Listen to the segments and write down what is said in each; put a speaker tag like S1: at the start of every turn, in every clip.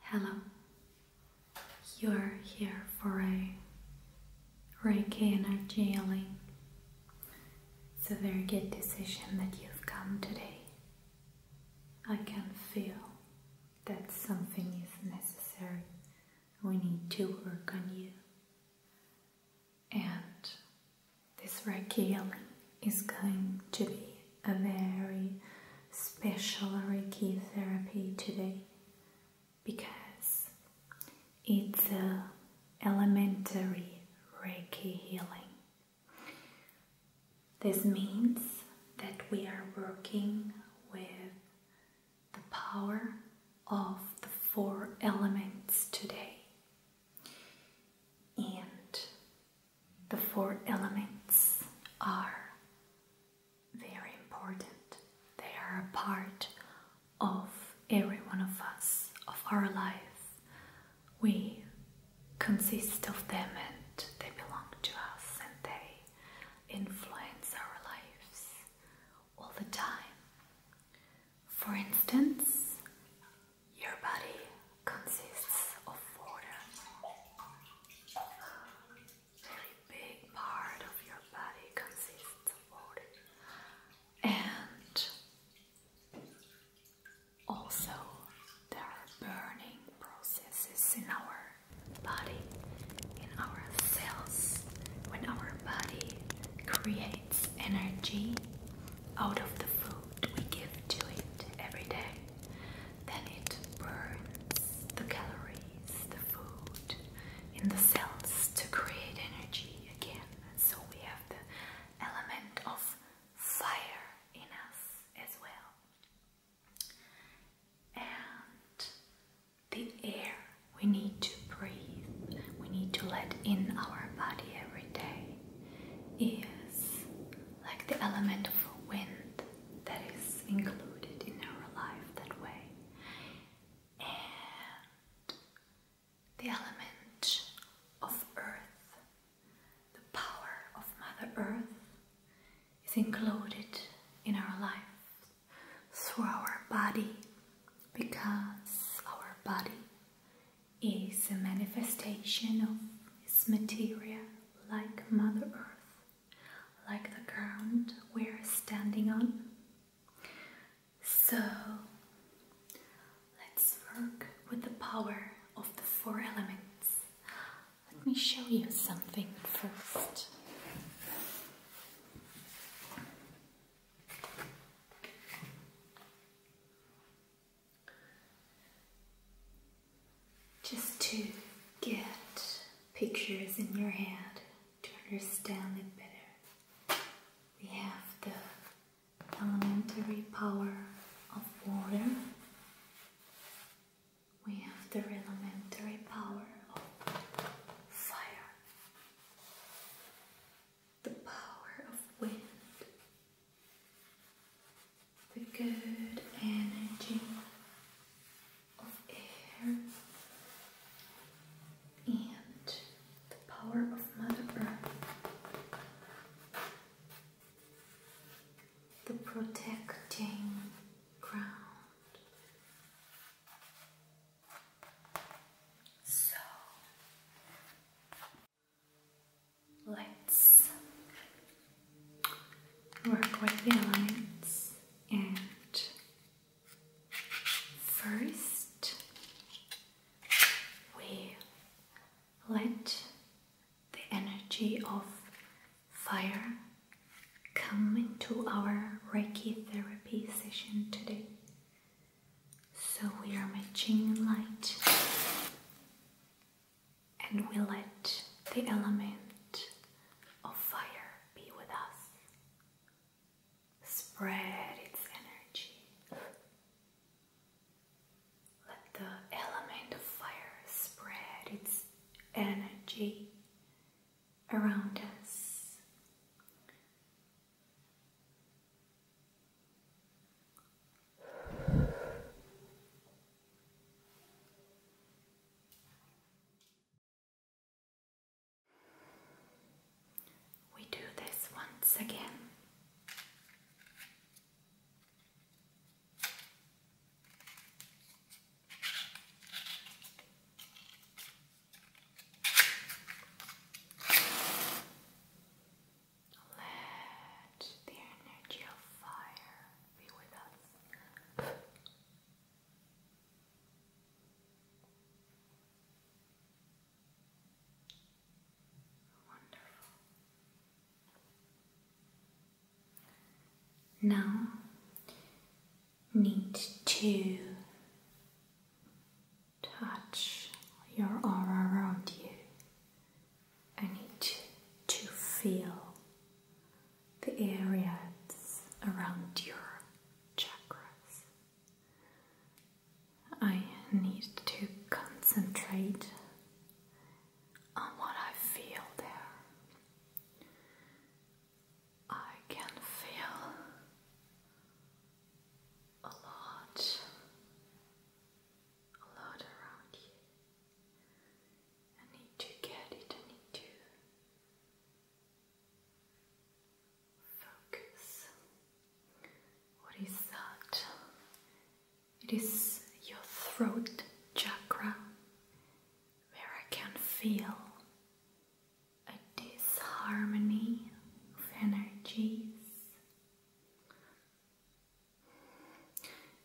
S1: Hello, you're here for a Reiki energy healing. It's a very good decision that you've come today. I can feel that something is necessary. We need to work on you. And this Reiki healing is going to be a very special Reiki therapy today because it's a elementary Reiki healing. This means that we are working with the power of the four elements today. And the four elements are very important. They are a part of every one of us, of our life. We consist of them and they belong to us and they influence our lives all the time. For instance, your body consists of water. A very big part of your body consists of water. And also there are burning processes in our body, in our cells. When our body creates energy out of the food we give to it every day, then it burns the calories, the food in the cells to create energy again. so we have the element of fire in us as well. And the air we need to breathe, we need to let in our body every day is like the element of wind that is included in our life that way. And the element of earth, the power of Mother Earth, is included in our life through our body because our body is a manifestation of this material like Mother Earth like the ground we're standing on. So let's work with the power of the four elements. Let me show you something first just to get pictures in your head to understand it better. We have the elementary power of water. We have the elementary power of fire, the power of wind, the good energy of air and the power of Mother Earth, the protecting ground. So let's work with the elements and first we let the energy of fire come into our Reiki therapy session today. So we are matching light and we let the element of fire be with us. Spread its energy. Let the element of fire spread its energy around us. We do this once again. Let the energy of fire now, need to touch your aura around you. I need to feel the areas around your chakras. I need to concentrate on what I feel there. I can feel a lot, a lot around you. I need to get it, I need to focus. What is that? It is your throat chakra where I can feel a disharmony of energies.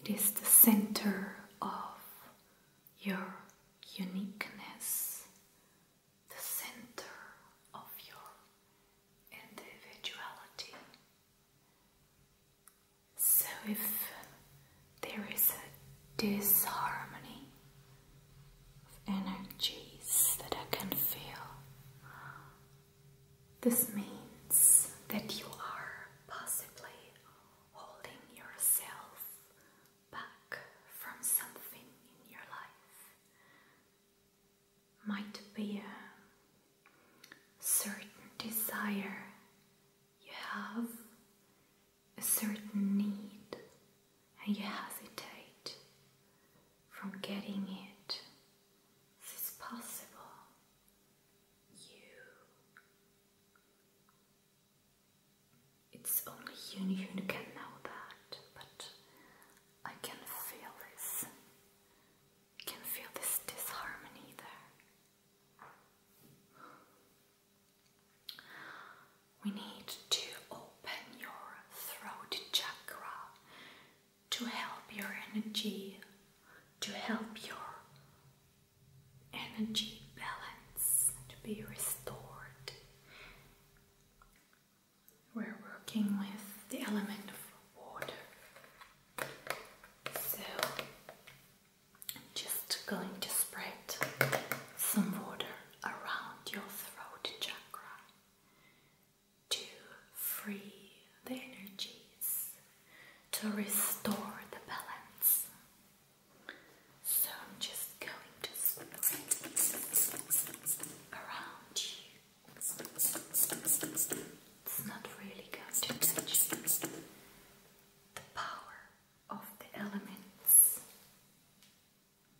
S1: It is the center of your uniqueness, the center of your individuality. So, if there is a disharmony of energies that I can feel, this means that you are possibly holding yourself back from something in your life. Might be a certain desire you have, a certain need, and you hesitate from getting it. This is possible. You it's only you who can know that, but I can feel this. I can feel this disharmony there. We need to open your throat chakra to help your energy, to help your energy balance to be restored. We're working with the element of water. So I'm just going to spread some water around your throat chakra to free the energies, to restore the balance. So I'm just going to spread around you. It's not really going to touch the power of the elements,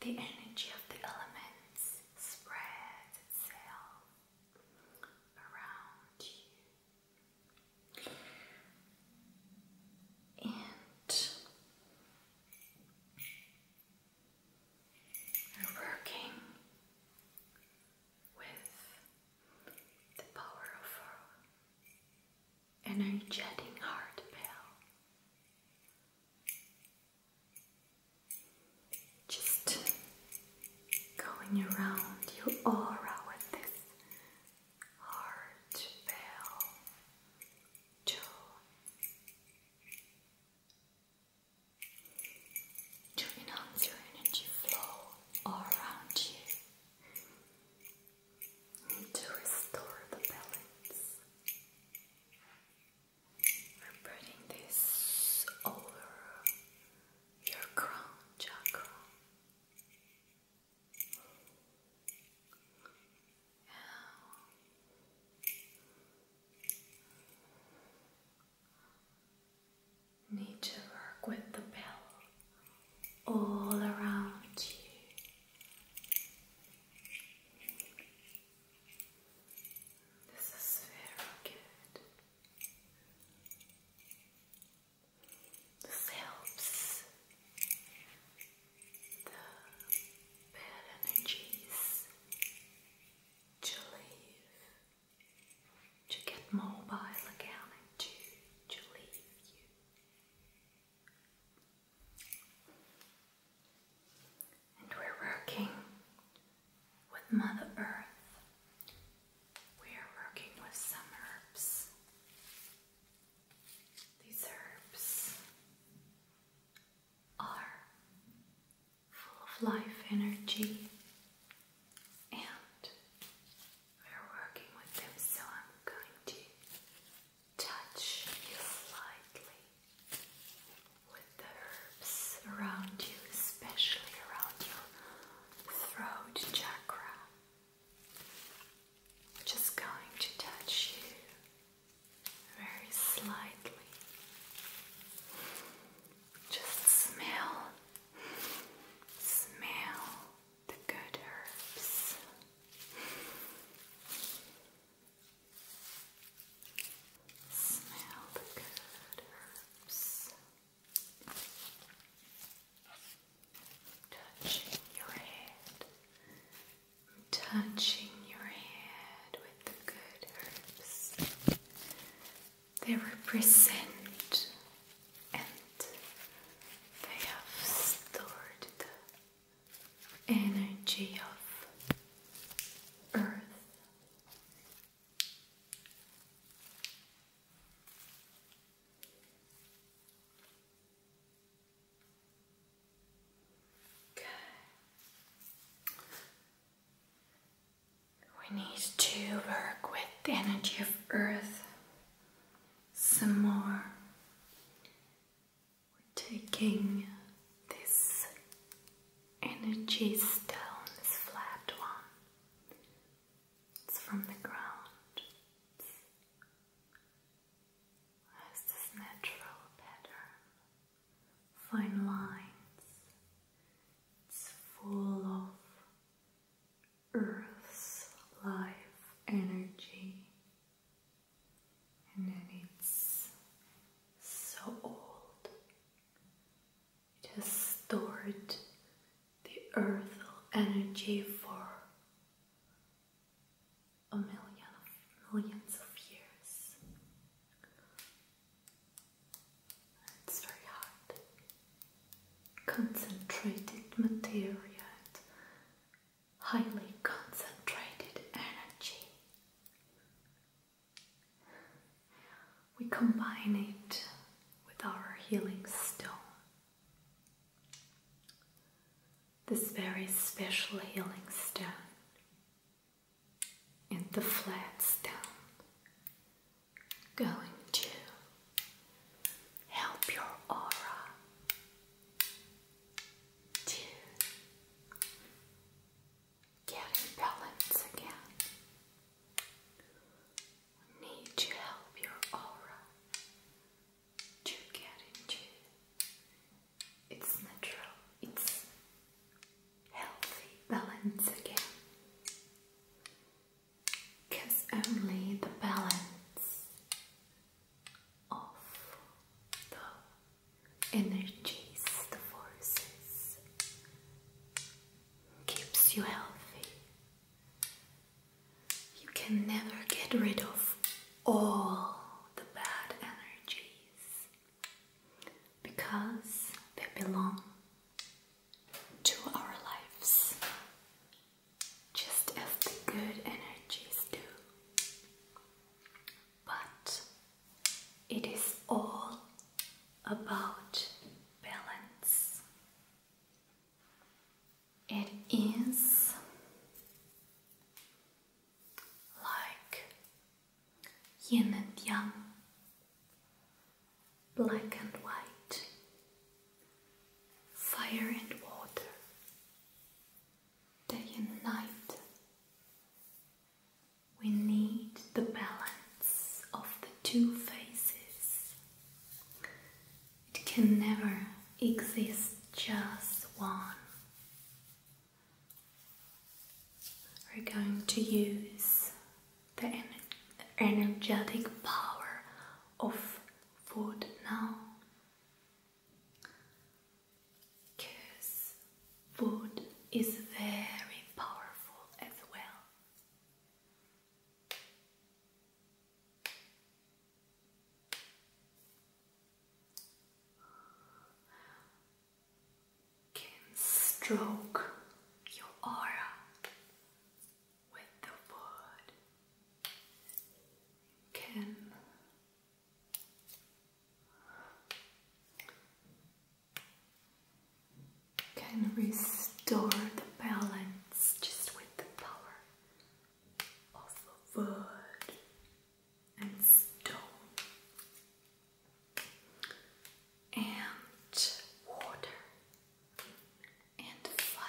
S1: the energy of the elements spreads itself around you. And we're working with the power of our energetic heart bell. Just going around your aura with this heart bell tone to enhance your energy flow around you to restore the balance. We're putting this over your crown chakra. Now, need to work with the bell all around you. This is very good. Phelps, the bad energies to leave, to get mobile again and to leave you. And we're working with Mother Earth. We are working with some herbs these herbs are full of life energy, and we're working with them, so I'm going to touch you slightly with the herbs around you, especially around your throat chakra. Just going to touch you very slightly. Just smell, smell the good herbs. Smell the good herbs touching your head, touching your head with the good herbs. They represent and they have stored the energy of earth. We need to work with the energy of Earth some more. We're taking this energy stone, this flat one. It's from the ground has this natural pattern, fine lines. It's full of Earth's life energy, and it's so old. It has stored the earth energy for a millions of years. It's very hard. Concentrated material highly concentrated energy. We combine it with our healing stone this very special healing stone and the flat stone going to help your aura to get in balance again. need to help your aura to get into. It's natural, it's healthy balance again. Because only the balance of the energies, the forces, keeps you healthy. You can never get rid of all the bad energies because they belong to our lives just as the good energies do. But it is all about balance. It is like yin and yang, black and white, fire and water, day and We need the balance of the two faces it can never exist just one. We're going to use the energetic power of food now. Because food is very powerful as well can stroke your aura with the word. can can restore the balance just with the power of wood and stone and water and fire.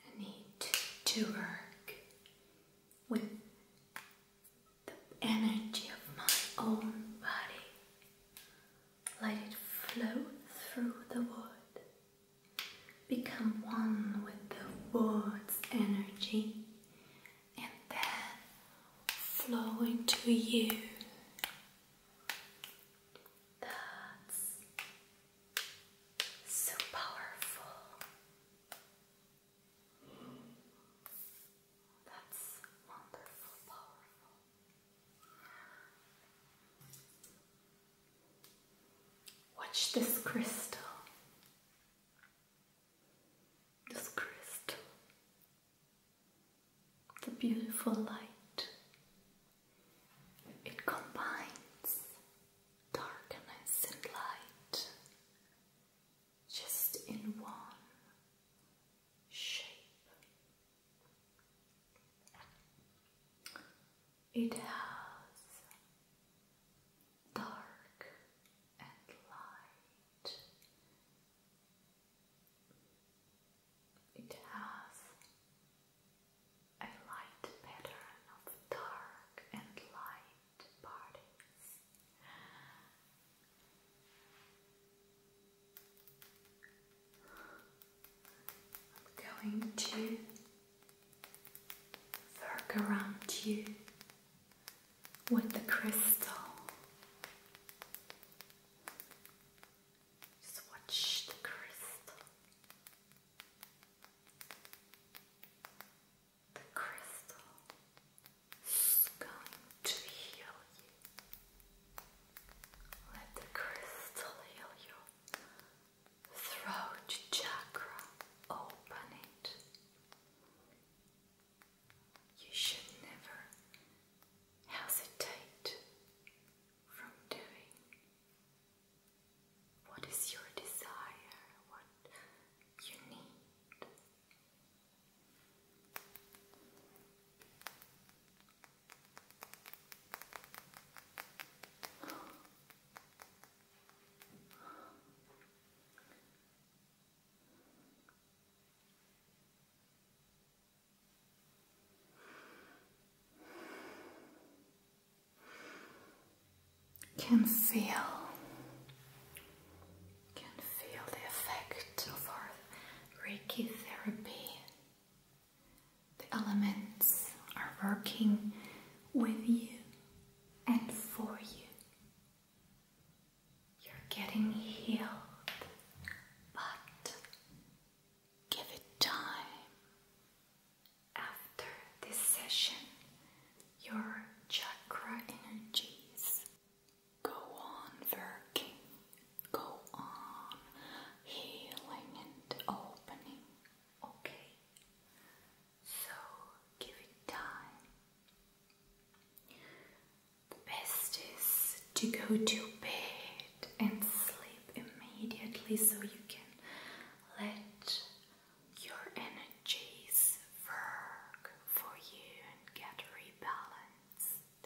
S1: I need to work with the energy of my own body. Let it flow through the wood Become one with the world's energy and then flow into you. That's so powerful. That's wonderful, powerful. Watch this crystal. This crystal. The beautiful light. It combines darkness and light just in one shape. It has dark and light. It has a light pattern of dark and light parties. I'm going to Work around you with the crystal. Just watch the crystal. The crystal is going to heal you. Let the crystal heal you throat chakra, open it. You should never hesitate from doing what is your desire, what you need. Can feel, can feel the effect of our Reiki therapy. The elements are working with you and for you. You're getting healed, but give it time. After this session, your chakra energies go on working, go on healing and opening. Okay, so give it time. The best is to go to bed and sleep immediately so you can let your energies work for you and get rebalanced.